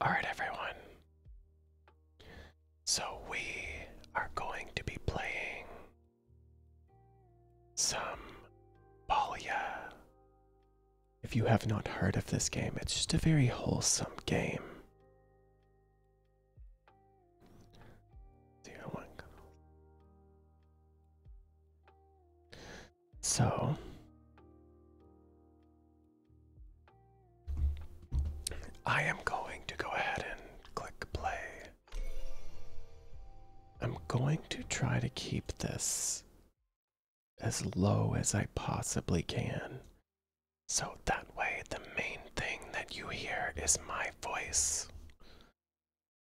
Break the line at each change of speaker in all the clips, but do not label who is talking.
All right, everyone.
So, we are going to be playing some Balia if you have not heard of this game, it's just a very wholesome game. So, I am going to go ahead and click play. I'm going to try to keep this as low as I possibly can. So that way, the main thing that you hear is my voice.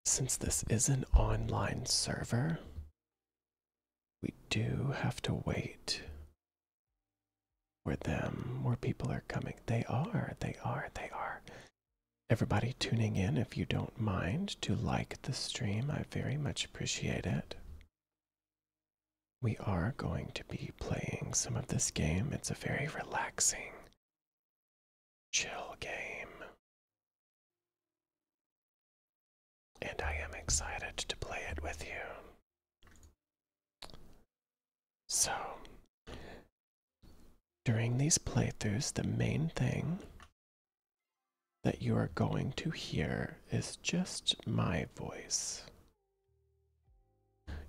Since this is an online server, we do have to wait where them, More people are coming. They are, they are, they are. Everybody tuning in, if you don't mind, to like the stream. I very much appreciate it we are going to be playing some of this game. It's a very relaxing, chill
game. And I am
excited to play it with you. So, during these playthroughs, the main thing that you are going to hear is just my voice.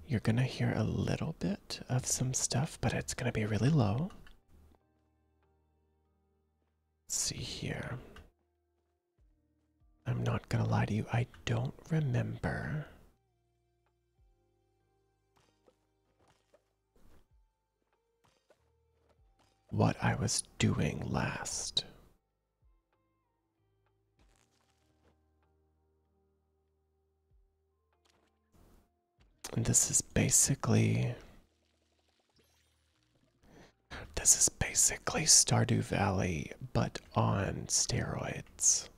You're going to hear a little bit of some stuff, but it's going to be really low. see here. I'm not going to lie to you, I don't remember. What I was doing last. And this is basically this is basically Stardew Valley, but on steroids.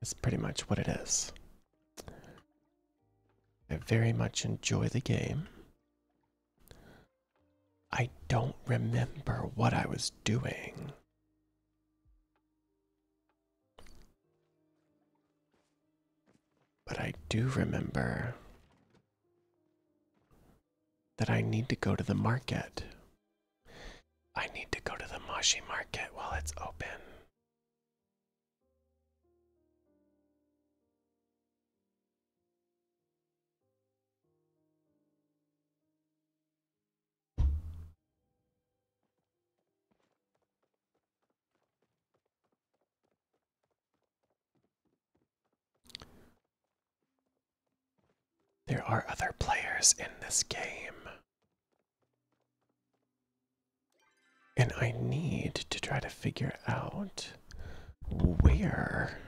That's pretty much what it is. I very much enjoy the game. I don't remember what I was doing. But I do remember that I need to go to the market. I need to go to the Mashi market while it's open.
There are other players in this game.
And I need to try to figure out where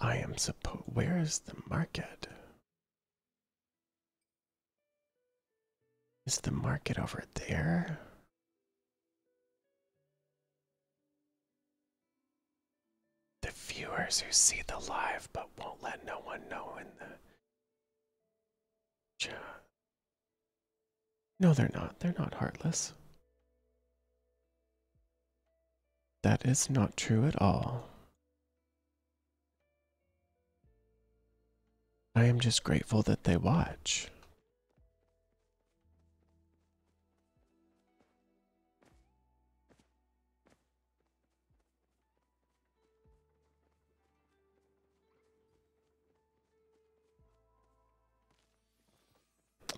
I am supposed. Where is the market?
Is the market over there? The viewers who see the live but won't let no one know in the chat.
No, they're not. They're not heartless. That is not true at all. I am just grateful that they watch.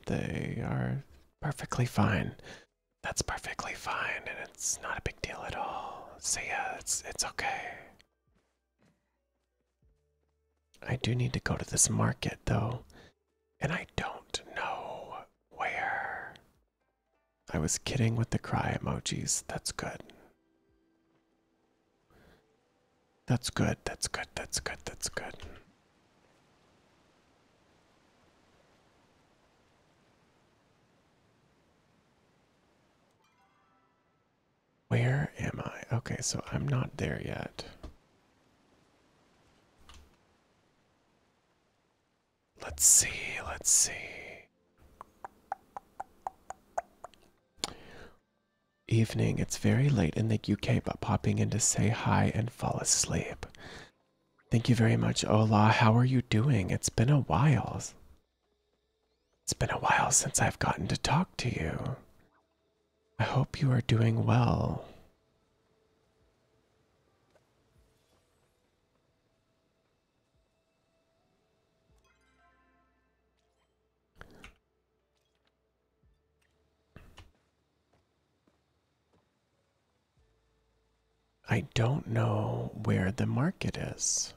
They are perfectly fine. That's perfectly fine, and it's not a big deal at all. So yeah, it's it's okay. I do need to go to this market though, and I don't know where. I was kidding with the cry emojis. That's good. That's good, that's good, that's good, that's good. Where am I? Okay, so I'm not there yet.
Let's see, let's see.
Evening, it's very late in the UK, but popping in to say hi and fall asleep. Thank you very much, Ola. How are you doing? It's been a while. It's been a while since I've gotten to talk to you. I hope you are doing well. I don't know where the market is.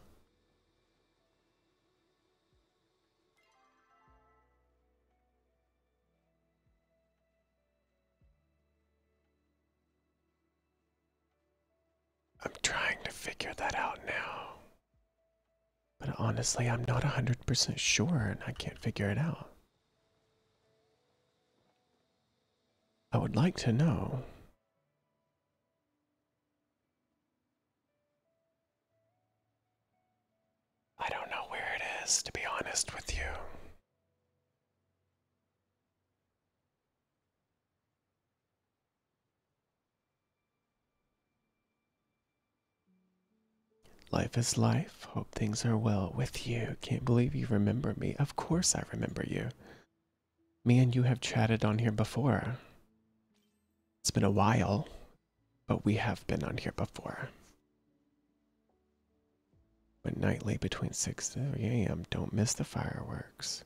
I'm trying to figure that out now. But honestly, I'm not 100% sure and I can't figure it out. I would like to know.
I don't know where it is, to be honest with you.
Life is life. Hope things are well with you. Can't believe you remember me. Of course, I remember you. Me and you have chatted on here before. It's been a while, but we have been on here before. But nightly between 6 3 a.m., don't miss the fireworks.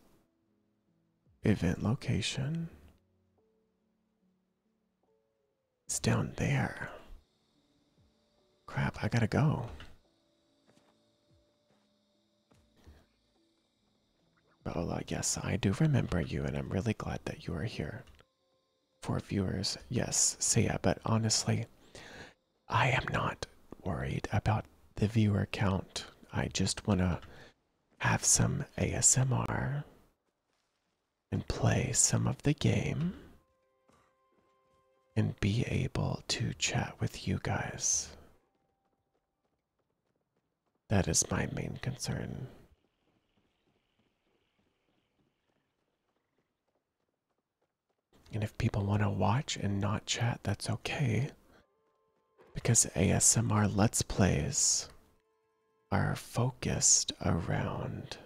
Event location. It's down there. Crap, I gotta go. Baola, yes, I do remember you, and I'm really glad that you are here. For viewers, yes, Sia, yeah, but honestly, I am not worried about the viewer count. I just want to have some ASMR and play some of the game and be able to chat with you guys. That is my main concern. And if people want to watch and not chat, that's okay. Because ASMR Let's Plays are focused around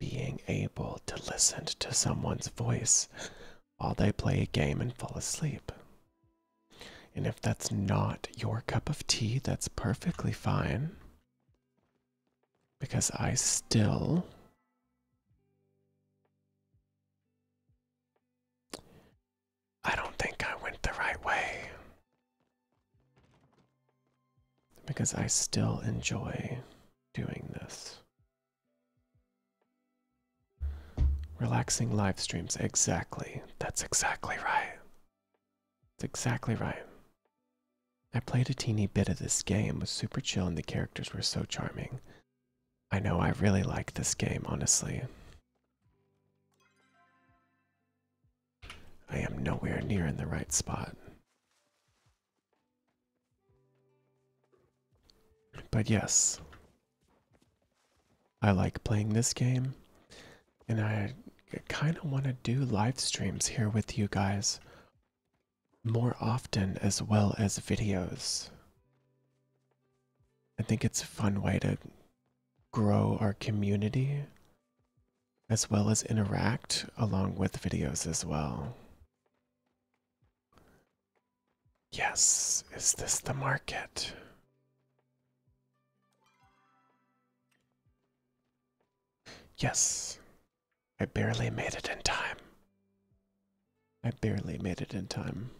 being able to listen to someone's voice while they play a game and fall asleep. And if that's not your cup of tea, that's perfectly fine. Because I still I don't think I went the right way because I still enjoy doing this. Relaxing live streams, exactly. That's exactly right. It's exactly right. I played a teeny bit of this game, was super chill, and the characters were so charming. I know I really like this game, honestly. I am nowhere near in the right spot. But yes, I like playing this game, and I kind of want to do live streams here with you guys more often as well as videos. I think it's a fun way to grow our community as well as interact along with videos as well. Yes, is this the market? Yes, I barely made it in time. I barely made it in time.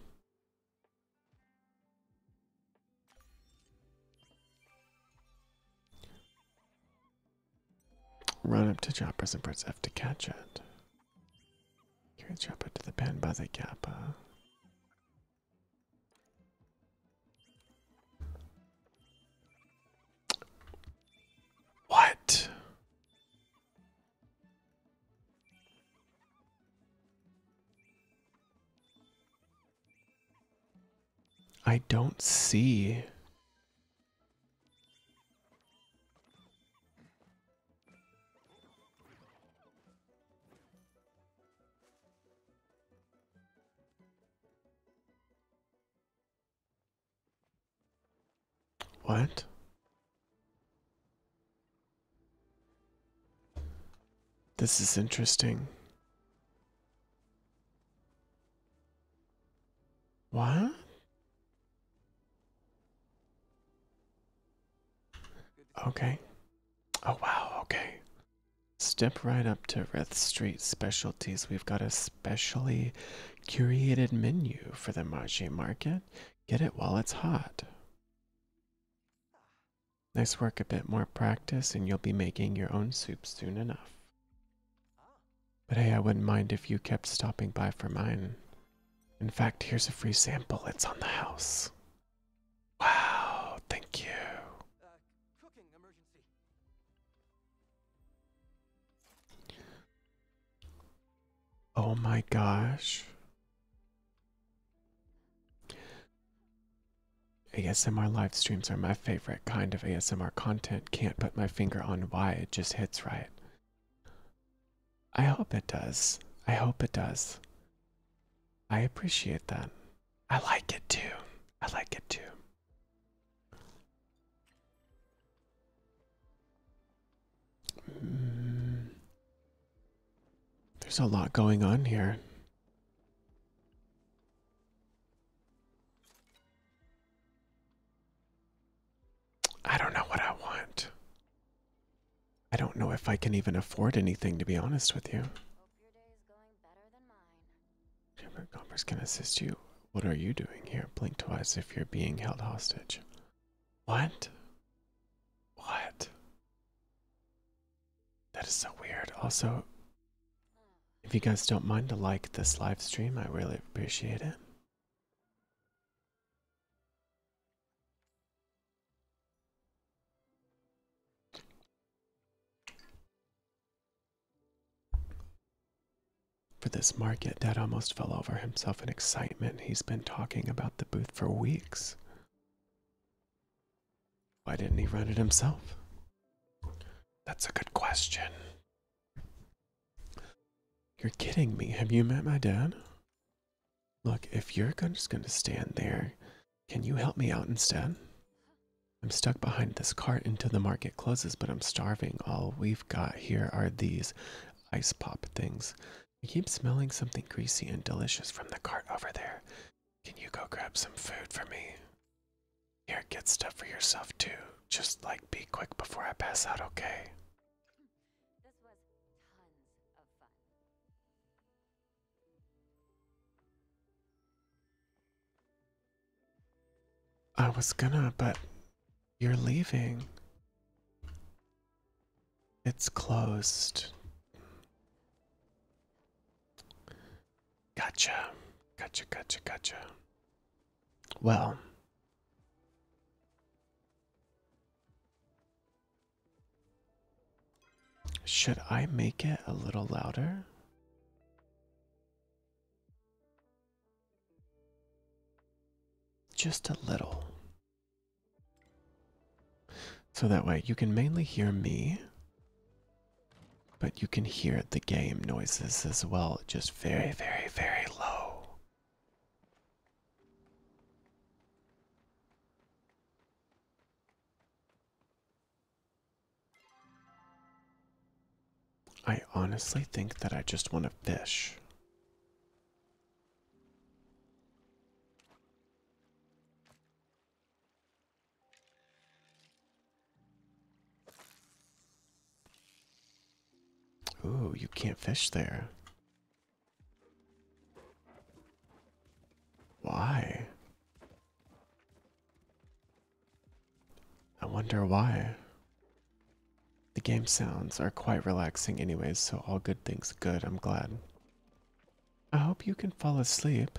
Run up to Choppers and press F to catch it. Carry Chopper to the pen by the Kappa. What? I don't see what? This is interesting. What? Okay. Oh, wow. Okay. Step right up to Reth Street Specialties. We've got a specially curated menu for the Marché Market. Get it while it's hot. Nice work, a bit more practice, and you'll be making your own soup soon enough. But hey, I wouldn't mind if you kept stopping by for mine. In fact, here's a free sample. It's on the house.
Wow, thank you.
Oh my gosh. ASMR live streams are my favorite kind of ASMR content. Can't put my finger on why it just hits right. I hope it does. I hope it does. I appreciate that. I like it too. I like it too. Mm. There's a lot going on here. I don't know what I want. I don't know if I can even afford anything, to be honest with you. Chamber of Commerce can assist you. What are you doing here? Blink twice if you're being held hostage. What? What? That is so weird. Also, if you guys don't mind to like this live stream, I really appreciate it. For this market, Dad almost fell over himself in excitement. He's been talking about the booth for weeks. Why didn't he run it himself? That's a good question. You're kidding me. Have you met my dad? Look, if you're just going to stand there, can you help me out instead? I'm stuck behind this cart until the market closes, but I'm starving. All we've got here are these ice pop things. I keep smelling something greasy and delicious from the cart over there. Can you go grab some food for me? Here, get stuff for yourself too. Just like be quick before I pass out, okay? I was gonna, but you're leaving. It's closed. Gotcha. Gotcha, gotcha, gotcha. Well. Should I make it a little louder? Just a little. So that way you can mainly hear me. But you can hear the game noises as well, just very,
very, very low.
I honestly think that I just want to fish. Ooh, you can't fish there. Why? I wonder why. The game sounds are quite relaxing, anyways, so all good things good, I'm glad. I hope you can fall asleep.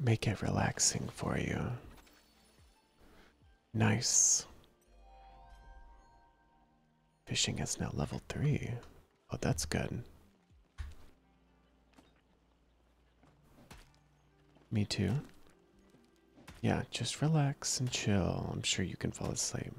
Make it relaxing for you. Nice. Fishing is now level 3. Oh, that's good. Me too. Yeah, just relax and chill. I'm sure you can fall asleep.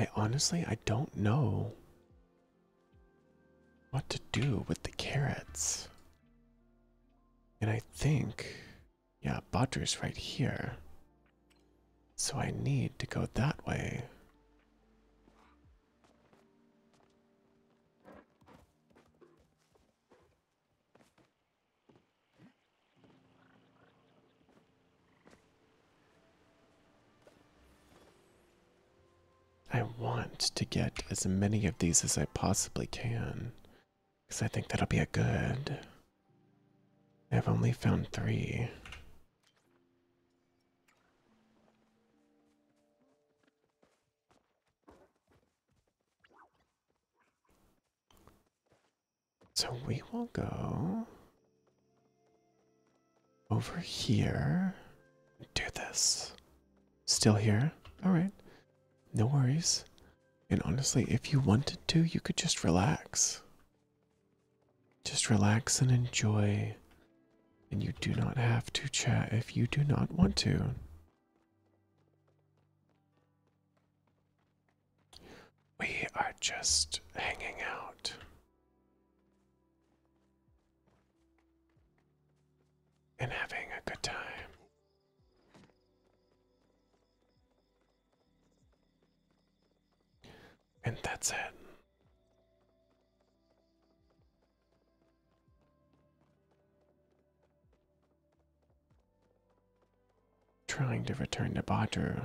I honestly, I don't know what to do with the carrots. And I think yeah, Botter's right here. So I need to go that way. I want to get as many of these as I possibly can. Because I think that'll be a good. I've only found three. So we will go over here. Do this. Still here? Alright. No worries. And honestly, if you wanted to, you could just relax. Just relax and enjoy. And you do not have to chat if you do not want to. We are just hanging out. And having a good time. And that's it. Trying to return to Badru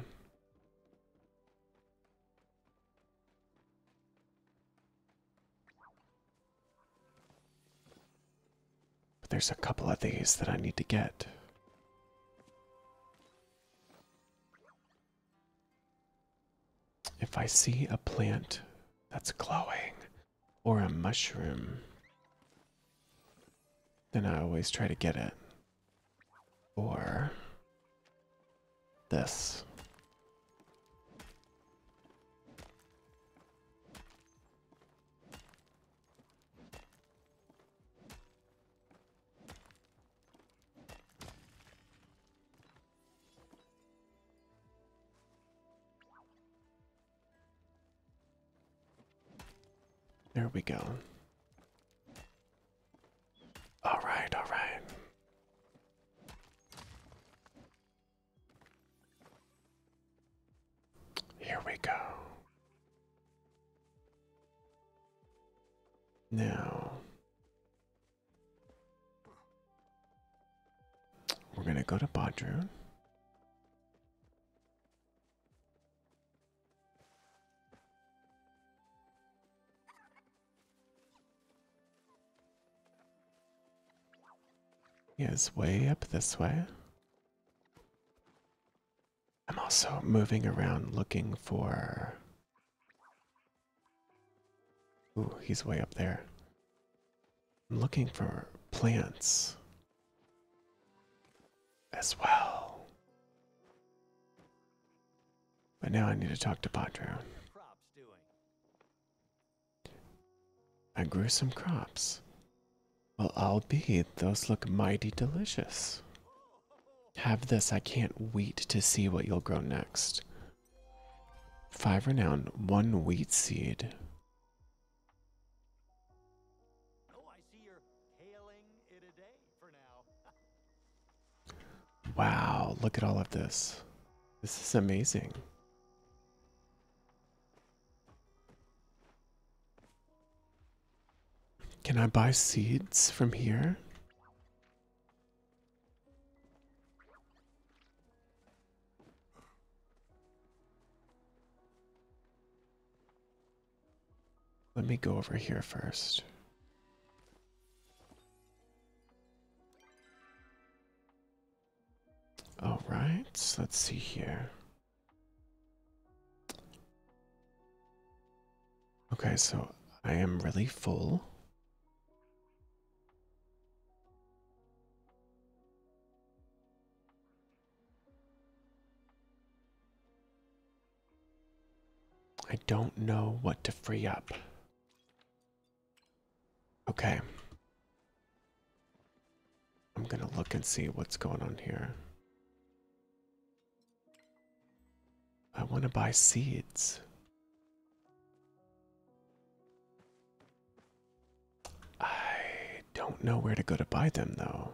there's a couple of these that I need to get. If I see a plant that's glowing or a mushroom, then I always try to get it. Or this. There we go.
All right, all right. Here we go. Now we're going to go to Bodroon.
He is way up this way. I'm also moving around looking for. Ooh, he's way up there. I'm looking for plants as well. But now I need to talk to Padro. I grew some crops. Well, I'll be. Those look mighty delicious. Have this. I can't wait to see what you'll grow next. Five renown, one wheat seed. wow, look at all of this. This is amazing. Can I buy seeds from here? Let me go over here first. All right, let's see here. Okay, so I am really full. I don't know what to free up. Okay. I'm gonna look and see what's going on here. I want to buy seeds. I don't know where to go to buy them though.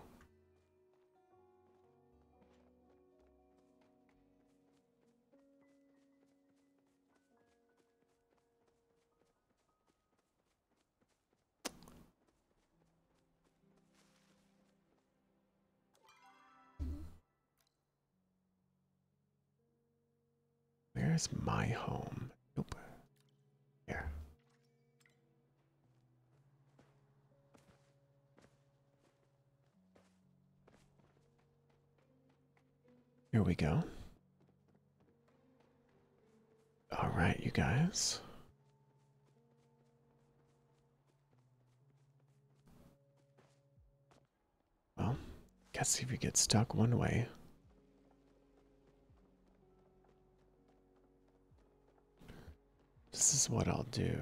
Where's my home?
Nope. Here.
Here we go. All right, you guys. Well, guess if we get stuck one way. This is what I'll do.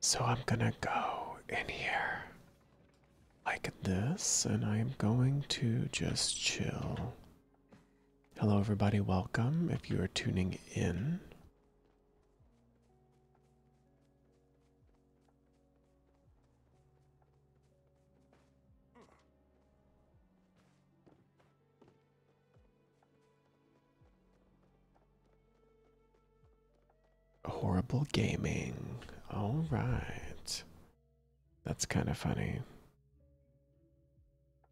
So I'm gonna go in here like this, and I'm going to just chill Hello, everybody. Welcome. If you are tuning in, horrible gaming. All right. That's kind of funny.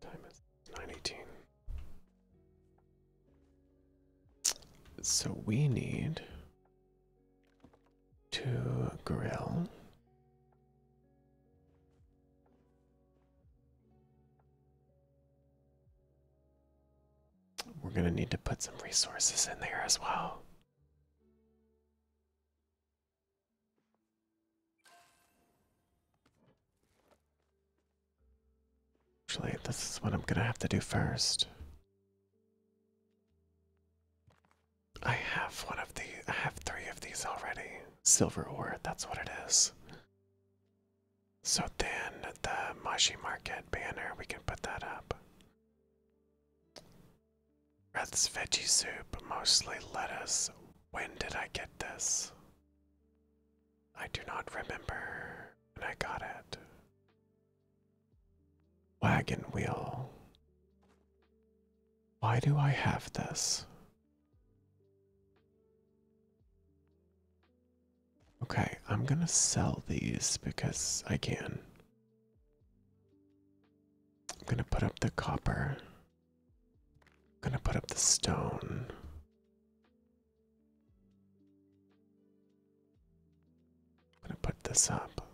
Time is 918. So we need to grill.
We're going to need to put some resources in there as well.
Actually, this is what I'm gonna have to do first. I have one of the I have three of these already. Silver ore, that's what it is. So then the Mashi Market banner, we can put that up. Brett's veggie soup, mostly lettuce. When did I get this? I do not remember when I got it. Wagon wheel. Why do I have this? Okay, I'm gonna sell these because I can. I'm gonna put up the copper.
I'm gonna put up the stone. I'm gonna put this up.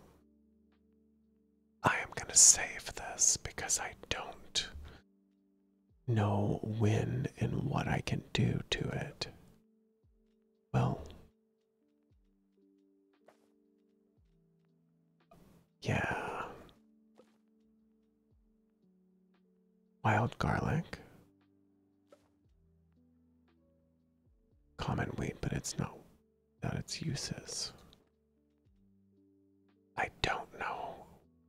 I am gonna save this because I don't know when and what I can do to it. Well, yeah.
Wild garlic.
Common wheat, but it's not without its uses. I don't know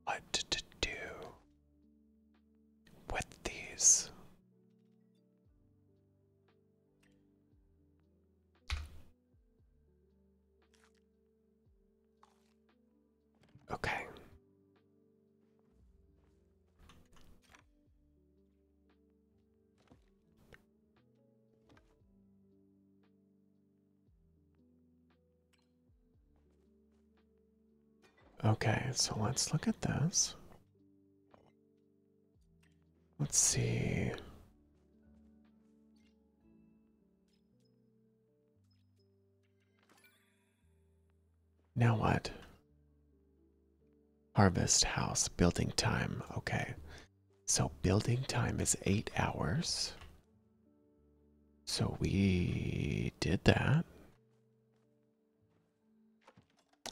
what to do with these. Okay.
Okay, so let's look at this. Let's see. Now what? Harvest house building time. Okay. So building time is eight hours. So we did that.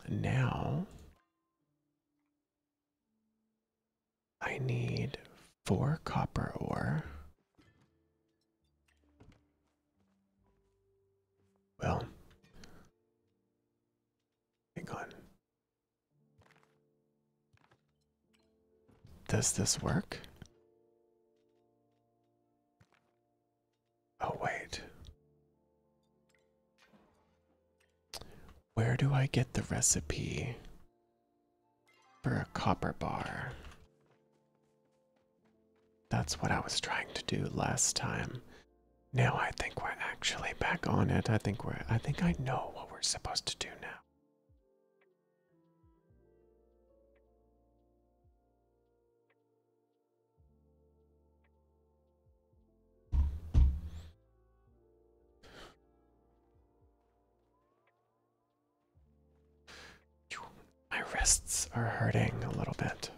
Now I need four copper ore.
Well, hang on. Does this work?
Oh, wait. Where do I get the recipe for a copper bar? That's what I was trying to do last time. Now I think we're actually back on it. I think we're I think I know what we're supposed to do now. My wrists are hurting a little bit.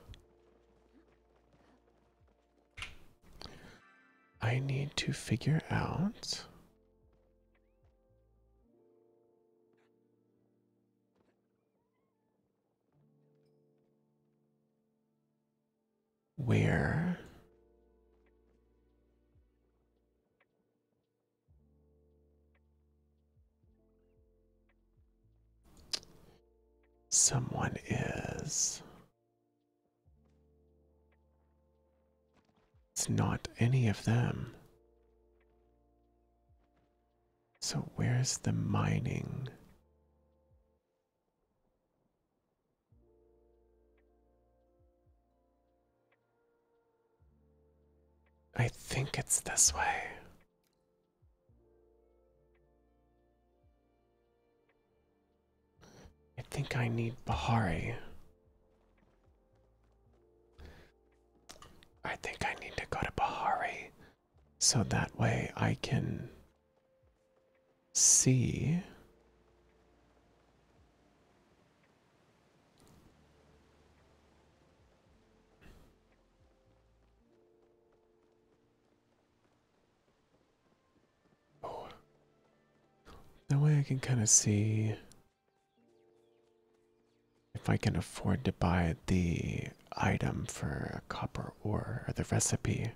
I need to figure out
where someone is.
It's not any of them. So, where's the mining?
I think it's this
way. I think I need Bahari. I think I need to go to Bahari so that way I can see. That way I can kind of see if I can afford to buy the item for a copper ore or the recipe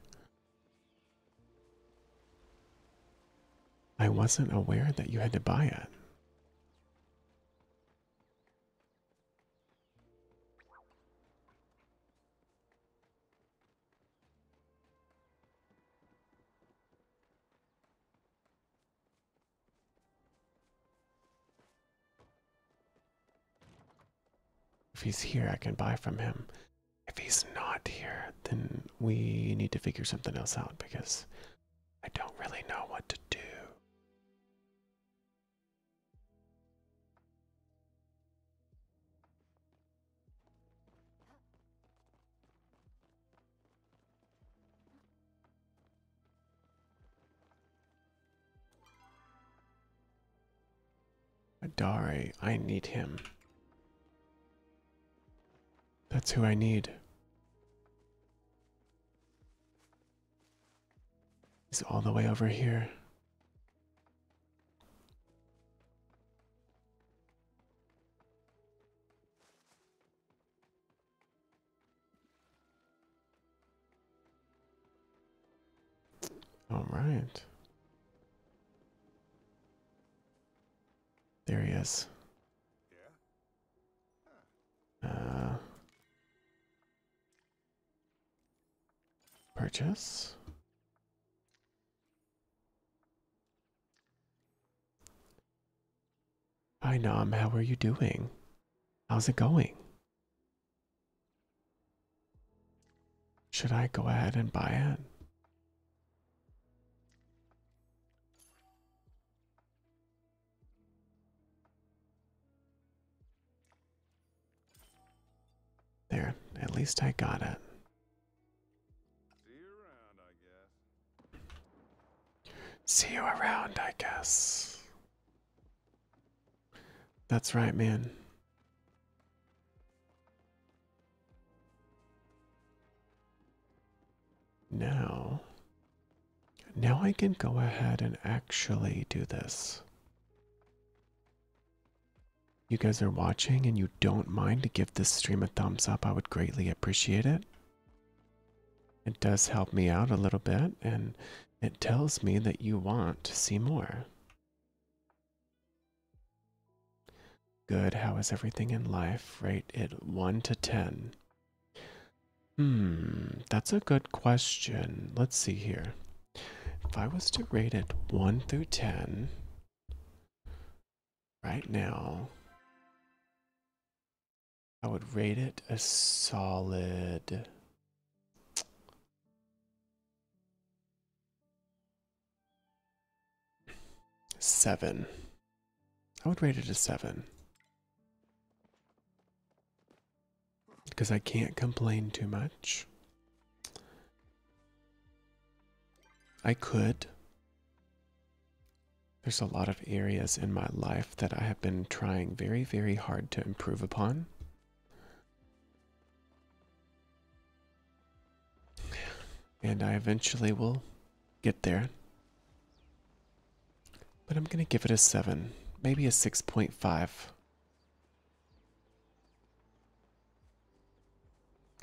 I wasn't aware that you had to buy it. If he's here, I can buy from him. If he's not here, then we need to figure something else out because I don't really know what to do. Adare, I need him. That's who I need. He's all the way over here.
All right. There he is. Uh, purchase.
Hi, Nom. How are you doing? How's it going? Should I go ahead and buy it? There, at least I got it.
See you around, I guess.
That's right, man. Now, now I can go ahead and actually do this. You guys are watching and you don't mind to give this stream a thumbs up, I would greatly appreciate it. It does help me out a little bit and it tells me that you want to see more. Good. How is everything in life? Rate it 1 to 10. Hmm, that's a good question. Let's see here. If I was to rate it 1 through 10 right now, I would rate it a solid. Seven. I would rate it a seven. Because I can't complain too much. I could. There's a lot of areas in my life that I have been trying very, very hard to improve upon. And I eventually will get there. But I'm going to give it a 7, maybe a 6.5.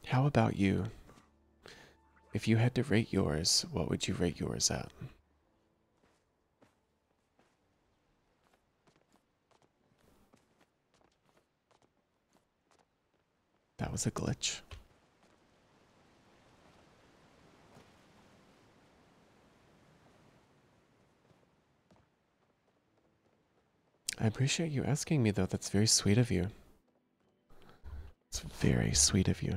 How about you? If you had to rate yours, what would you rate yours at? That was a glitch. I appreciate you asking me, though. That's very sweet of you. It's very sweet of you.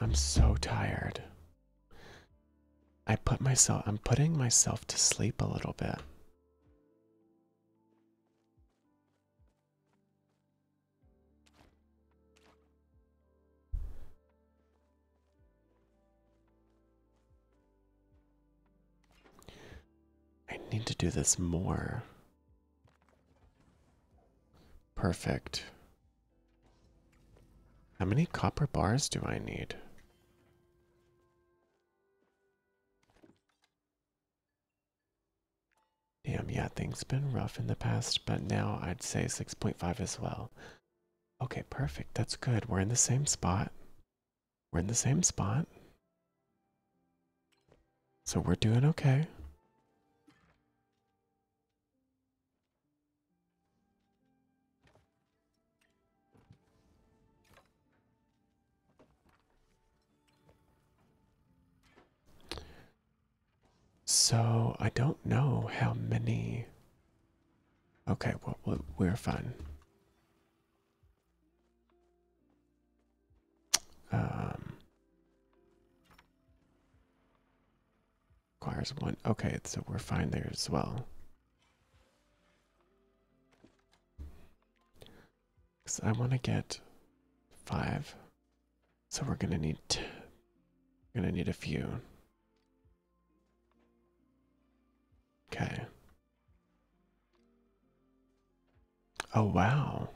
I'm so tired. I put myself, I'm putting myself to sleep a little bit. I need to do this more. Perfect. How many copper bars do I need? Damn, yeah, things been rough in the past, but now I'd say 6.5 as well. Okay, perfect. That's good. We're in the same spot. We're in the same spot. So we're doing okay. So I don't know how many. Okay, well, we're fine requires um, one. Okay, so we're fine there as well. Because I want to get five, so we're gonna need we're gonna need a few. Okay. Oh, wow.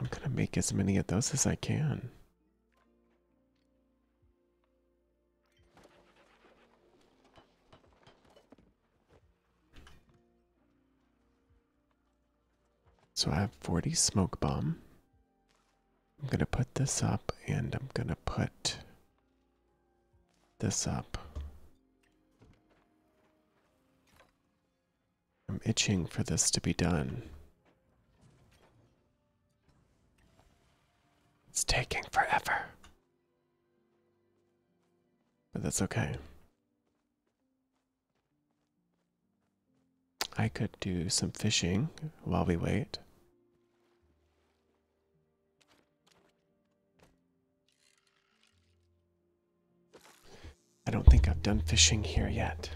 I'm going to make as many of those as I can. So I have 40 smoke bomb. I'm going to put this up and I'm going to put this up. I'm itching for this to be done.
It's taking forever.
But that's okay. I could do some fishing while we wait. I don't think I've done fishing here yet.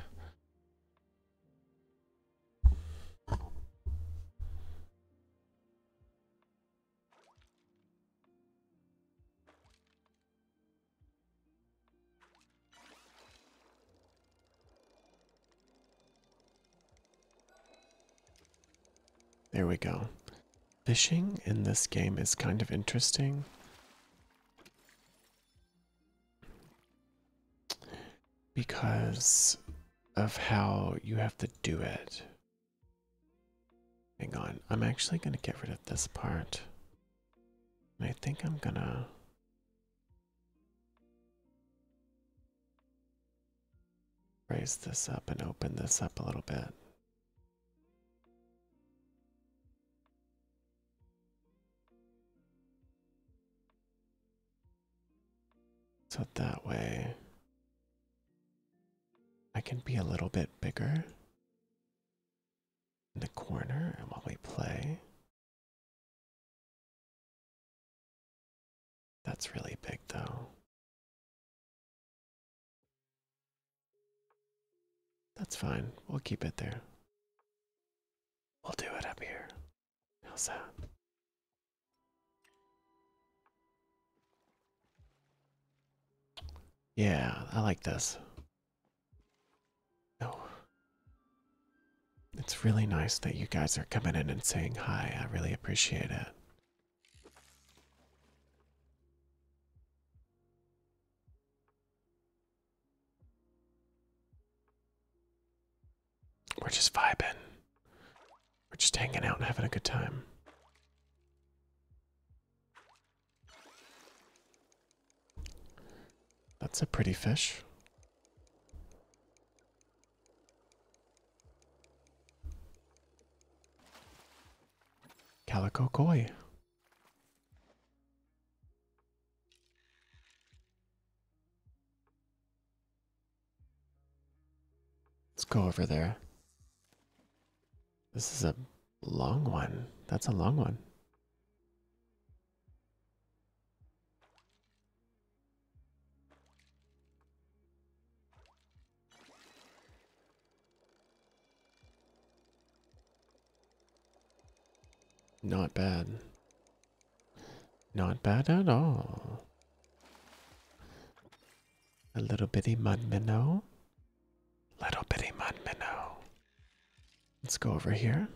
There we go. Fishing in this game is kind of interesting. Because of how you have to do it. Hang on, I'm actually going to get rid of this part. I think I'm going to raise this up and open this up a little bit. So that way I can be a little bit bigger
in the corner while we play. That's really big, though.
That's fine. We'll keep it there. We'll do it up here. How's that?
Yeah, I like this. Oh. It's really nice that you guys are coming in and saying hi. I really appreciate it.
We're just vibing.
We're just hanging out and having a good time. That's a pretty fish. Calico Koi. Let's go over there. This is a long one. That's a long one. Not bad. Not bad at all. A little bitty mud minnow. Little bitty mud minnow. Let's go over here.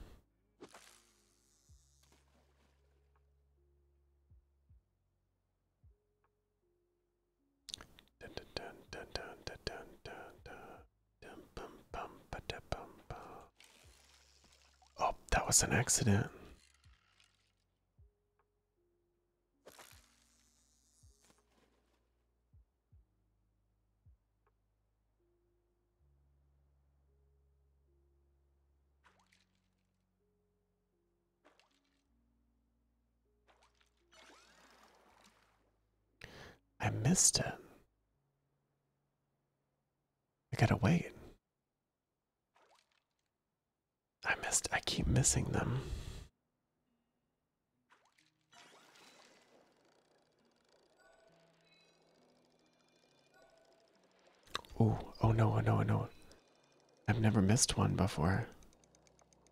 Oh, that was an accident.
I missed him. I gotta wait. I missed, I keep missing them.
Oh! oh no, oh no, oh no. I've never missed one before.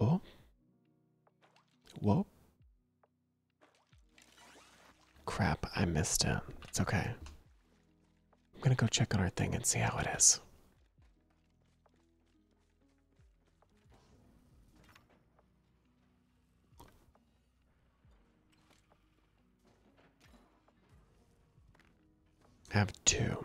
Oh. Whoa. Crap, I missed him. It's okay. I'm gonna go check on our thing and see how it is. Have two.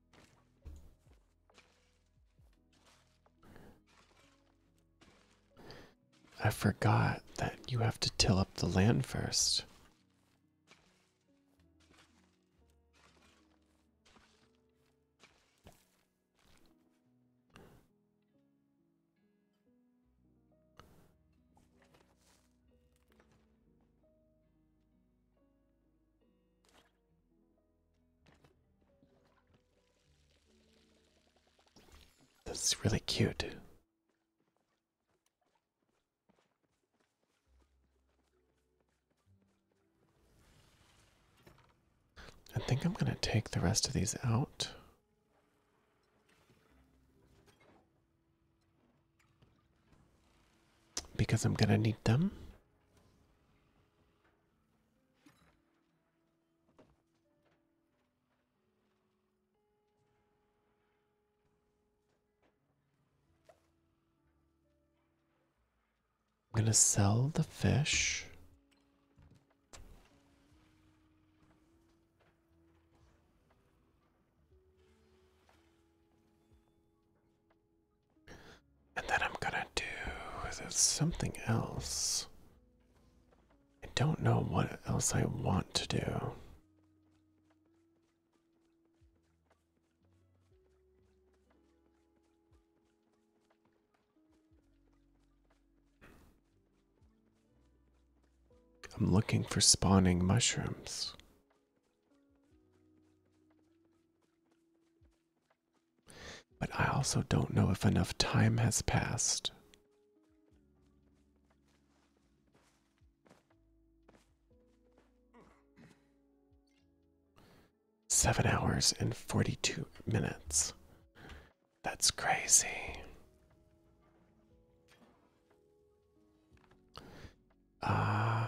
I forgot that you have to till up the land first. This is really cute. I think I'm going to take the rest of these out. Because I'm gonna need them. I'm gonna sell the fish. And then I'm gonna do something else. I don't know what else I want to do. I'm looking for spawning mushrooms. But I also don't know if enough time has passed. Seven hours and 42 minutes. That's crazy. Uh,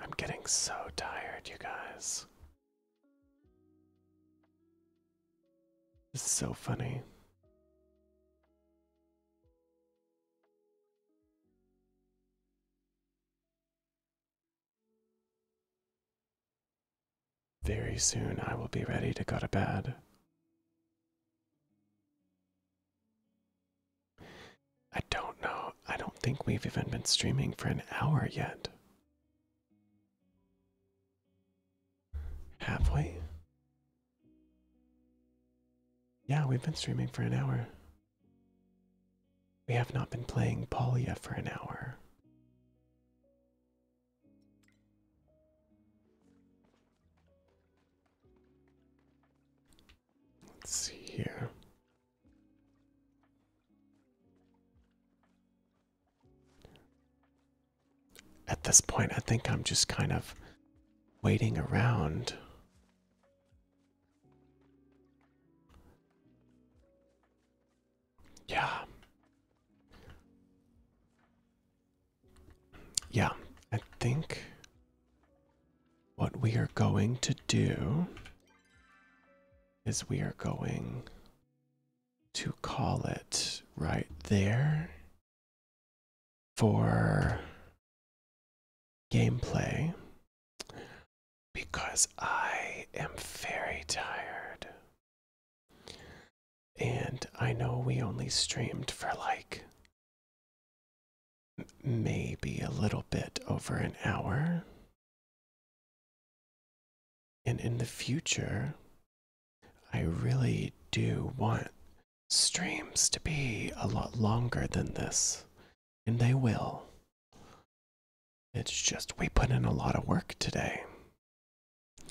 I'm getting so tired, you guys.
This is so funny.
Very soon I will be ready to go to
bed. I don't know. I don't think we've even been streaming for an hour yet. Have we? Yeah, we've been streaming for an hour. We have not been playing Polia for an hour.
Let's see here.
At this point, I think I'm just kind of waiting around. Yeah. Yeah, I think what we are going to do is we are going to call it right
there for gameplay because I am very tired. And I know we only streamed for like maybe a little bit over an hour. And in the future,
I really do want streams to be a lot longer than this. And they will. It's just we put
in a lot of work today.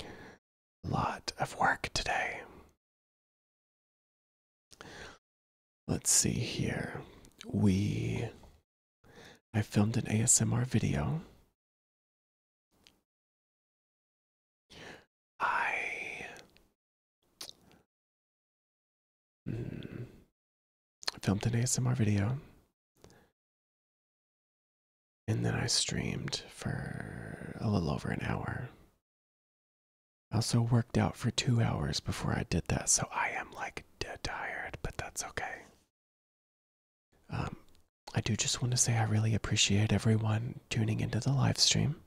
A lot of work today.
Let's see here. We. I filmed an ASMR video. I. Hmm, filmed an ASMR video.
And then I streamed for a little over an hour. I also worked out for two hours before I
did that, so I am like dead tired, but that's okay. Um, I do just want to say I really appreciate everyone tuning into the live stream.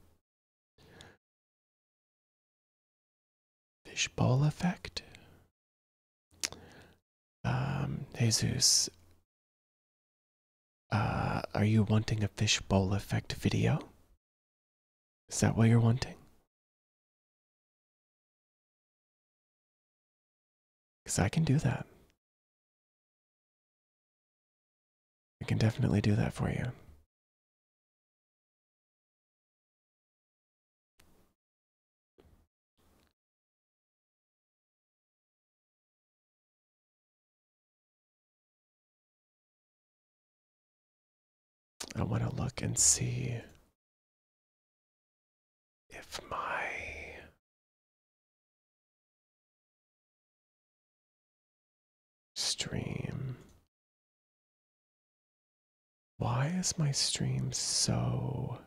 Fishbowl effect.
Um, Jesus, uh, are you wanting a fishbowl effect video? Is that what you're wanting? Because I can do that. I can definitely do that for you. I want to look and see if my stream. Why is my stream so